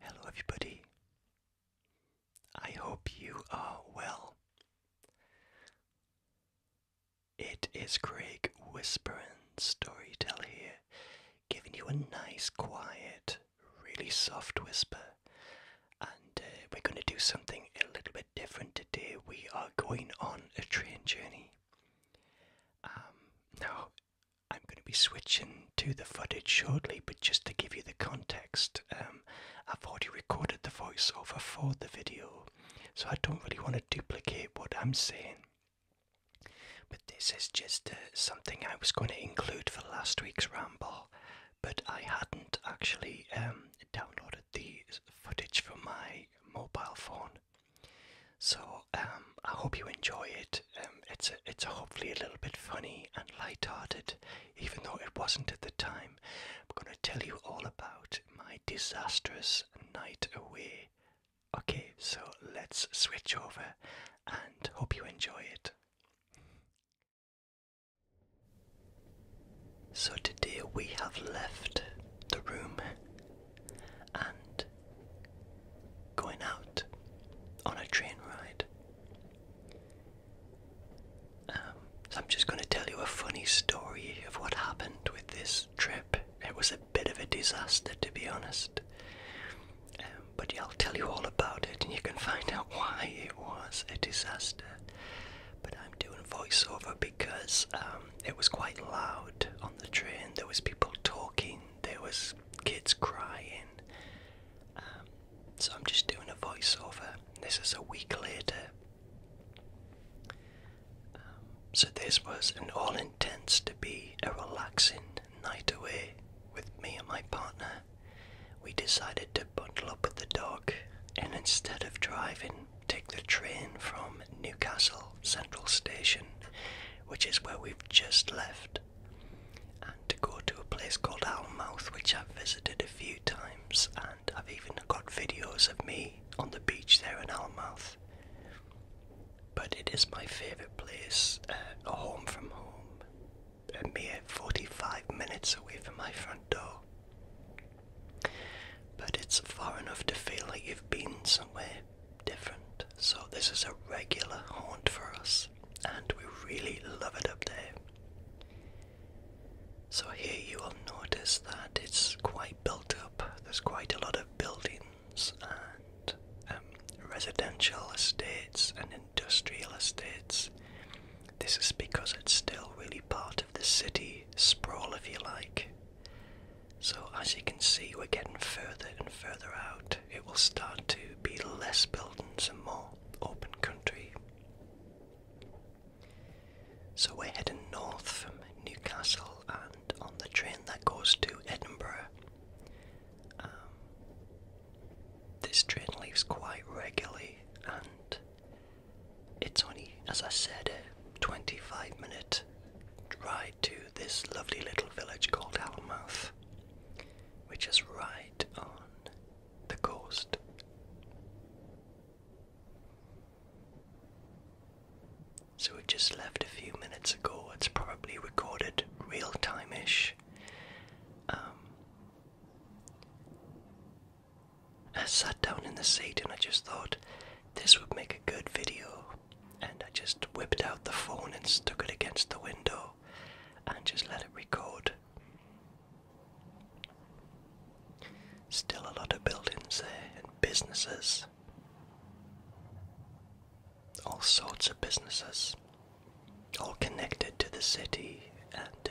Hello, everybody. I hope you are well. It is Craig Whispering Storytell here, giving you a nice, quiet, really soft whisper. And uh, we're going to do something a little bit different today. We are going on a train journey. Um, now, I'm going to be switching to the footage shortly, but just to give you the context, um, I've already recorded the voiceover for the video, so I don't really want to duplicate what I'm saying. But this is just uh, something I was going to include for last week's ramble, but I hadn't actually um, downloaded the footage from my mobile phone. So um, I hope you enjoy it. Um, it's it's hopefully a little bit funny and light-hearted, even though it wasn't at the time. I'm going to tell you all about my disastrous night away. Okay, so let's switch over, and hope you enjoy it. So today we have left the room and going out on a train ride. Um, I'm just going to tell you a funny story of what happened with this trip. It was a bit of a disaster, to be honest. Um, but I'll tell you all about it, and you can find out why it was a disaster. But I'm doing voiceover because um, it was quite loud on the train. There was people talking, there was kids crying. Um, so I'm just doing a voiceover. This is a week later. Um, so this was an all intents to be a relaxing night away with me and my partner. We decided to bundle up with the dog and instead of driving, take the train from Newcastle Central Station, which is where we've just left, and to go to a place called Owlmouth, which I've visited a few times, and I've even got videos of me on the beach there in Owlmouth. But it is my favourite place, uh, a home from home, a mere 45 minutes away from my front door. But it's far enough to feel like you've been somewhere different. So this is a regular haunt for us, and we really love it up there. So here you will notice that it's quite built up. There's quite a lot of buildings and um, residential estates and industrial estates. This is because it's still really part of the city sprawl, if you like. So, as you can see, we're getting further and further out it will start to be less buildings and more open country. So we're heading north from Newcastle and on the train that goes to Edinburgh. Um, this train leaves quite regularly and it's only, as I said, a 25 minute ride to this lovely little village called Hallmouth which is right on the coast. So we just left a few minutes ago. It's probably recorded real time ish. Um, I sat down in the seat and I just thought this would make a good video and I just whipped out the phone and stuck it against the window and just let it record. Still a lot of buildings there and businesses. All sorts of businesses, all connected to the city, and uh,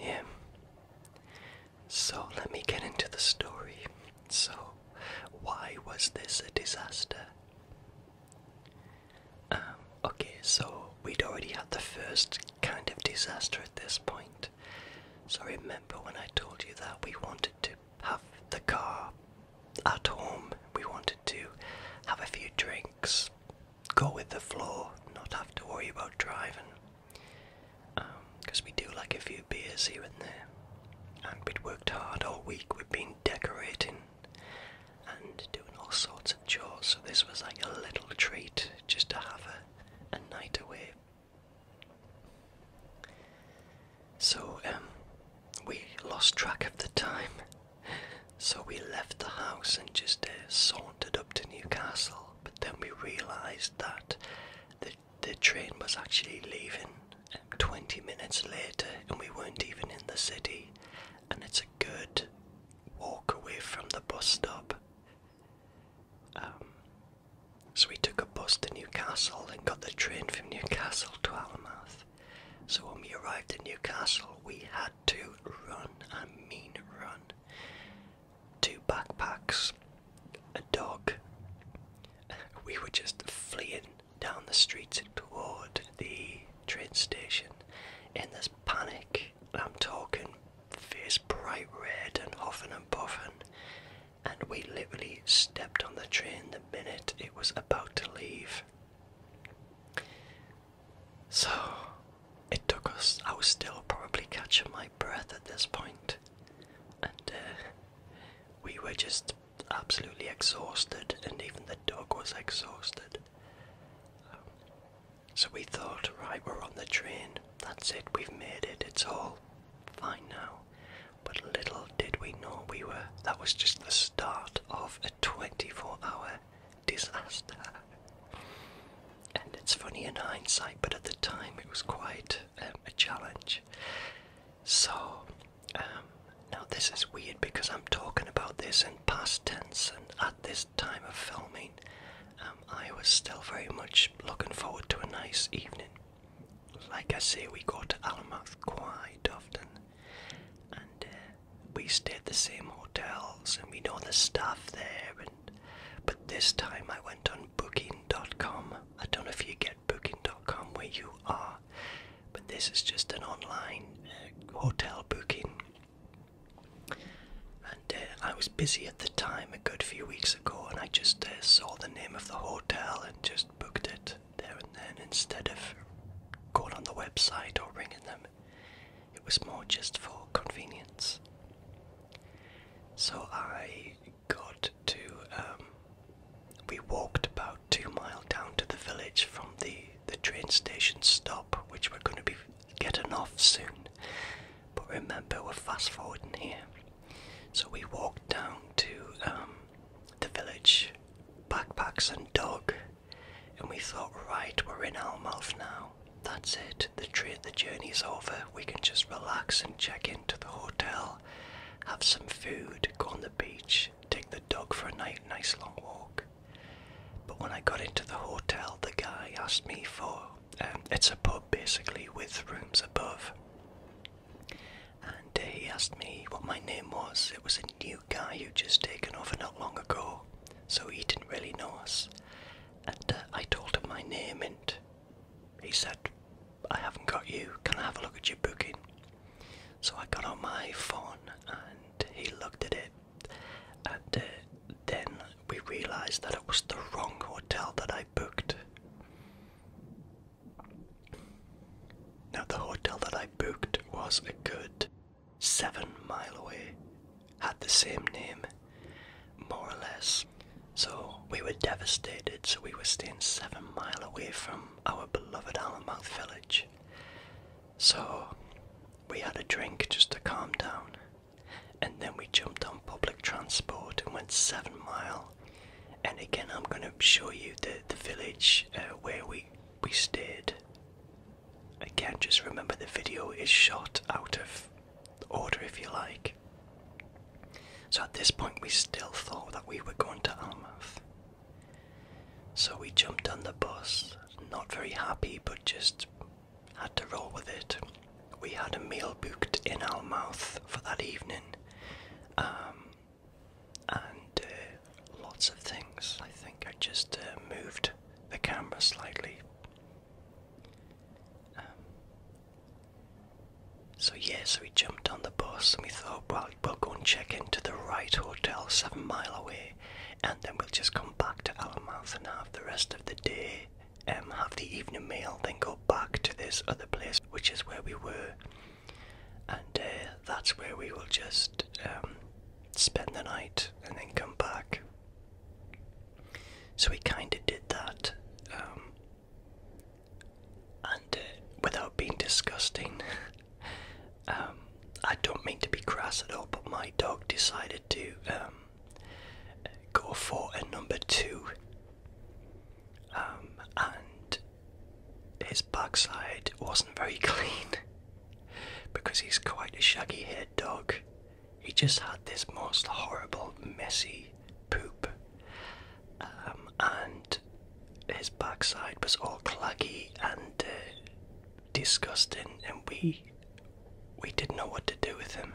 yeah, so let me get into the story. So, why was this a disaster? Um, okay, so we'd already had the first kind of disaster at this point. So, remember when I told you that we wanted to have the car at home, we wanted to have a few drinks, go with the flow, not have to worry about driving because um, we do like a few beers here and there. And we'd worked hard all week, we'd been decorating and doing all sorts of chores, so this was like a little treat just to have a, night away. So, um, we lost track of the time, so we left the house and just uh, sauntered up to Newcastle. But then we realised that the the train was actually leaving um, 20 minutes later and we weren't even in the city and it's a good walk away from the bus stop um, so we took a bus to newcastle and got the train from newcastle to alamouth so when we arrived in newcastle we had to run i mean run two backpacks a dog, we were just fleeing down the streets toward the train station in this panic. I'm talking face bright red and huffing and puffing. And we literally stepped on the train the minute it was about to leave. So it took us, I was still probably catching my breath at this point, and uh, we were just absolutely exhausted, and even the dog was exhausted. Um, so we thought, right, we're on the train, that's it, we've made it, it's all fine now. But little did we know we were, that was just the start of a 24 hour disaster. And it's funny in hindsight, but at the time it was quite um, a challenge. So, um, now this is weird because I'm talking about this in past tense, and at this time of filming, um, I was still very much looking forward to a nice evening. Like I say, we go to Alamoth quite often, and uh, we stay at the same hotels, and we know the staff there. but this time I went on Booking.com I don't know if you get booking.com where you are, but this is just an online uh, hotel booking. And uh, I was busy at the time a good few weeks ago, and I just uh, saw the name of the hotel and just booked it there and then instead of going on the website or ringing them. It was more just for convenience. So I got to. Um, we walked about two miles down to the village from the the train station stop, which we're going to be getting off soon. But remember, we're fast forwarding here. So we walked down to um, the village, backpacks and dog, and we thought, right, we're in our mouth now. That's it. The trade, the journey's over we can just relax and check into the hotel, have some food, go on the beach, take the dog for a nice long walk. But when I got into the hotel, the guy asked me for um, it's a pub basically with rooms above. And uh, he asked me what my name was. It was a new guy who'd just taken over not long ago, so he didn't really know us. And uh, I told him my name, and he said I haven't got you, can I have a look at your booking? So I got on my phone and he looked at it, and uh, then we realised that it was the wrong hotel that I booked. Now, the hotel that I booked was a good seven mile away, had the same name, more or less so we were devastated, so we were staying seven mile away from our beloved Alamouth village. So we had a drink just to calm down, and then we jumped on public transport and went seven mile. And again, I'm going to show you the the village uh, where we we stayed. can't just remember the video is shot out of order if you like. So at this point, we still thought that we were going to Almouth. So we jumped on the bus, not very happy, but just had to roll with it. We had a meal booked in Almouth for that evening, um, and uh, lots of things. I think I just uh, moved the camera slightly um, so yeah, so we jumped on the bus and we thought, well, we'll go and check into the right hotel seven mile away, and then we'll just come back to Alamouth and have the rest of the day, um, have the evening meal, then go back to this other place, which is where we were, and uh, that's where we will just um, spend the night and then come back. So we kind of did that. Um, and uh, without being disgusting, um, I don't mean to be crass at all, but my dog decided to um, go for a number two, um, and his backside wasn't very clean because he's quite a shaggy haired dog he just had this most horrible, messy poop, um, and his backside was all claggy and uh, disgusting, and we we didn't know what to do with him.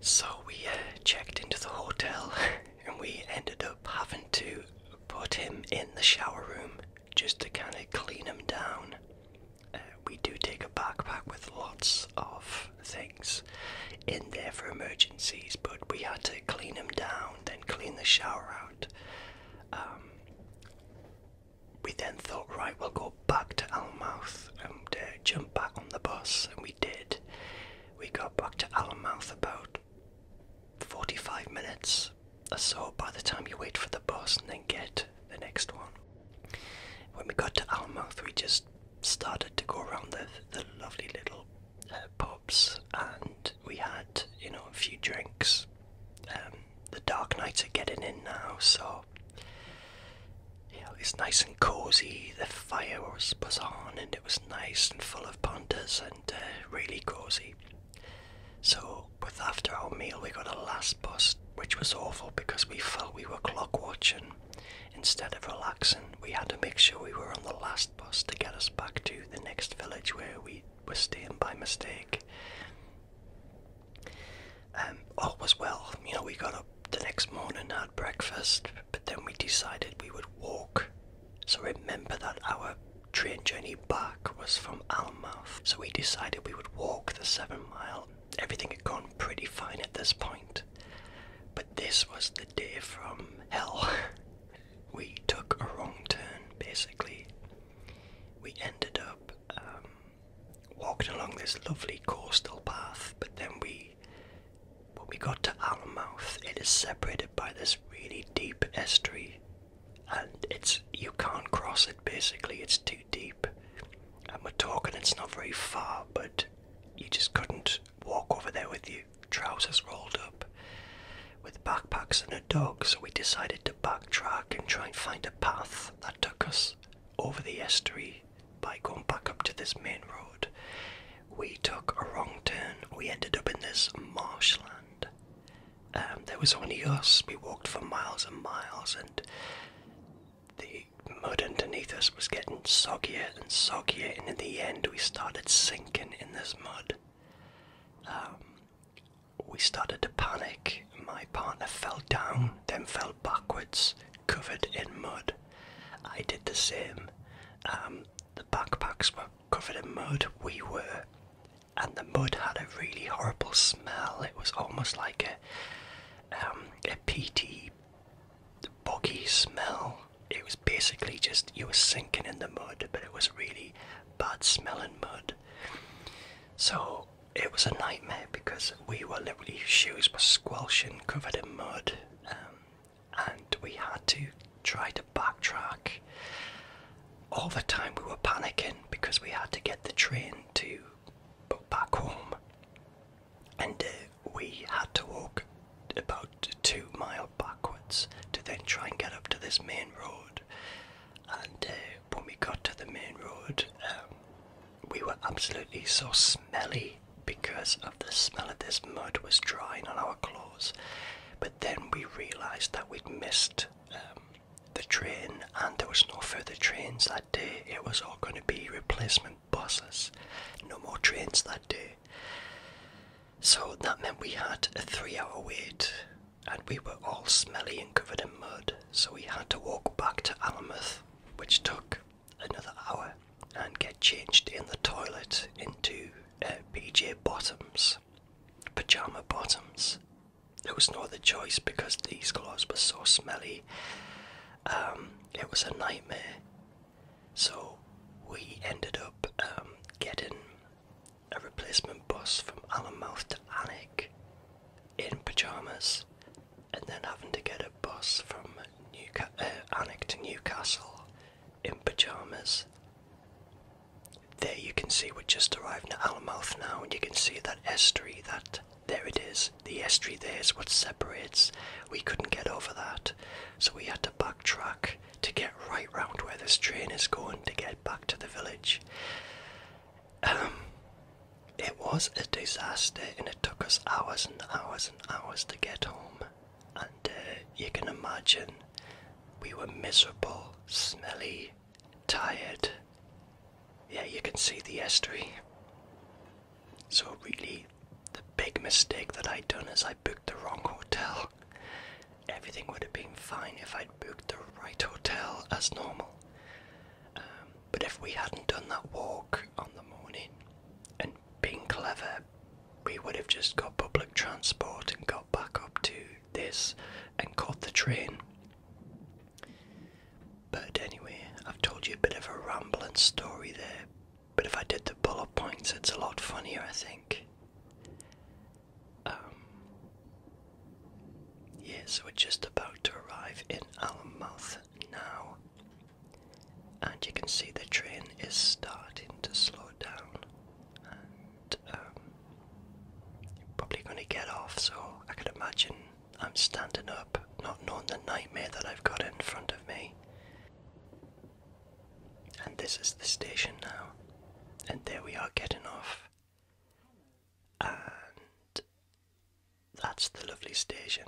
So we uh, checked into the hotel, and we ended up having to put him in the shower room just to kind of clean him down. Uh, we do take a backpack with lots of things in there for emergencies, but we had to clean them down, then clean the shower out. Um, we then thought, right, we'll go back to Almouth and uh, jump back on the bus, and we did. We got back to Almouth about 45 minutes or so by the time you wait for the bus and then get the next one. When we got to Almouth, we just started to go around the, the lovely little uh, pubs and we had, you know, a few drinks. Um, the dark nights are getting in now, so you know, it's nice and cozy. The fire was, was on and it was nice and full of pontas and uh, really cozy. So, with after our meal, we got a last bus, which was awful because we felt we were clock watching. Instead of relaxing, we had to make sure we were on the last bus to get us back to the next village where we were staying by mistake. And um, all was well. You know, we got up the next morning, had breakfast, but then we decided we would walk. So remember that our train journey back was from Almouth, so we decided we would walk the seven mile everything had gone pretty fine at this point. But this was the day from hell. we took a wrong turn, basically. We ended up um, walking along this lovely coastal path, but then we, when we got to Allenmouth, it is separated by this really deep estuary, and it's you can't cross it. Basically, it's too deep and we're talking it's not very far, but you just couldn't walk over there with your trousers rolled up with backpacks and a dog, so we decided to backtrack and try and find a path that took us over the estuary by going back up to this main road. We took a wrong turn, we ended up in this marshland. and um, there was only us, we walked for miles and miles, and the mud underneath us was getting soggier and soggier, and in the end, we started sinking in this mud. Um, we started to panic. My partner fell down, then fell backwards, covered in mud. I did the same. Um, the backpacks were covered in mud, we were. And the mud had a really horrible smell. It was almost like a um, a peaty, boggy smell. It was basically just you were sinking in the mud, but it was really bad smelling mud. So it was a nightmare because we were literally shoes were squelching, covered in mud, um, and we had to try to backtrack. All the time we were panicking because we had to get the train to back home and uh, we had to walk about two miles backwards to then try and get up to this main road. And uh, when we got to the main road, um, we were absolutely so smelly because of the smell of this mud was drying on our clothes. But then we realised that we'd missed um, the train, and there was no further trains day, it was all going to be replacement buses. No more trains that day. So that meant we had a three hour wait and we were all smelly and covered in mud. So we had to walk back to Alnmouth, which took another hour, and get changed in the toilet into uh, PJ bottoms, pajama bottoms. It was no other choice because these clothes were so smelly. Um, it was a nightmare. So we ended up um, getting a replacement bus from Allenmouth to Alnwick in pyjamas and then having to get a bus from Newca uh, to Newcastle in pyjamas. There you can see we're just arriving at Allenmouth now and you can see that estuary, that there it is. The estuary there is what separates. We couldn't get over that. So we had to backtrack to get right round where this train is going to get back to the village. Um, it was a disaster and it took us hours and hours and hours to get home. And uh, you can imagine we were miserable, smelly, tired yeah, you can see the estuary. So, really, the big mistake that I'd done is I booked the wrong hotel. Everything would have been fine if I'd booked the right hotel as normal. Um, but if we hadn't done that walk on the morning and being clever, we would have just got public transport and got back up to this and caught the train. But anyway, I've told you a bit of a rambling story there, but if I did the bullet points, it's a lot funnier, I think. Um, yeah, so we're just about to arrive in Allenmouth now, and you can see the train is starting to slow down, and um, probably going to get off, so I can imagine I'm standing up, not knowing the nightmare that I've got in front of me. And this is the station now. And there we are getting off. And that's the lovely station.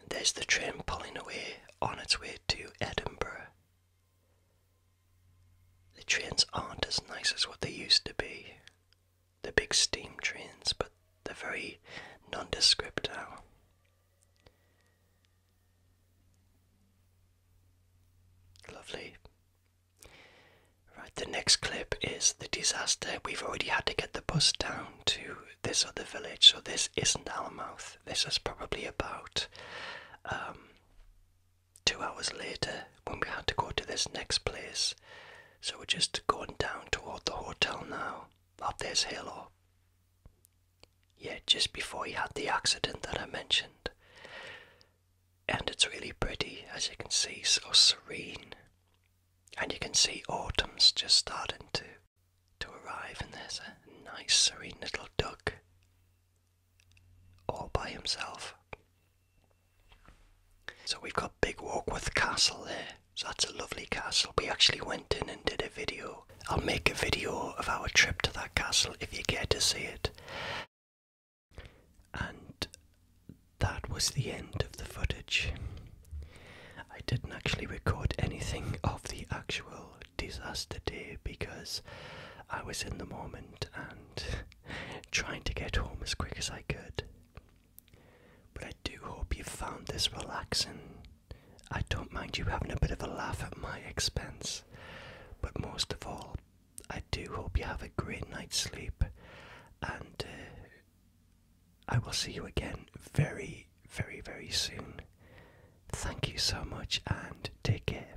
And there's the train pulling away on its way to Edinburgh. The trains aren't as nice as what they used to be. The big steam trains, but they're very nondescript now. Lovely. Right, the next clip is the disaster. We've already had to get the bus down to this other village, so this isn't our mouth. This is probably about um, two hours later when we had to go to this next place. So we're just going down toward the hotel now, up this hill or yeah, just before he had the accident that I mentioned. And it's really pretty, as you can see, so serene. And you can see autumn's just starting to to arrive, and there's a nice serene little duck all by himself. So we've got Big Warkworth Castle there. So that's a lovely castle. We actually went in and did a video. I'll make a video of our trip to that castle if you care to see it. And that was the end of the footage. I didn't actually record anything of the actual disaster day because I was in the moment and trying to get home as quick as I could. But I do hope you found this relaxing. I don't mind you having a bit of a laugh at my expense. But most of all, I do hope you have a great night's sleep. And uh, I will see you again very, very, very soon. Thank you so much and take care.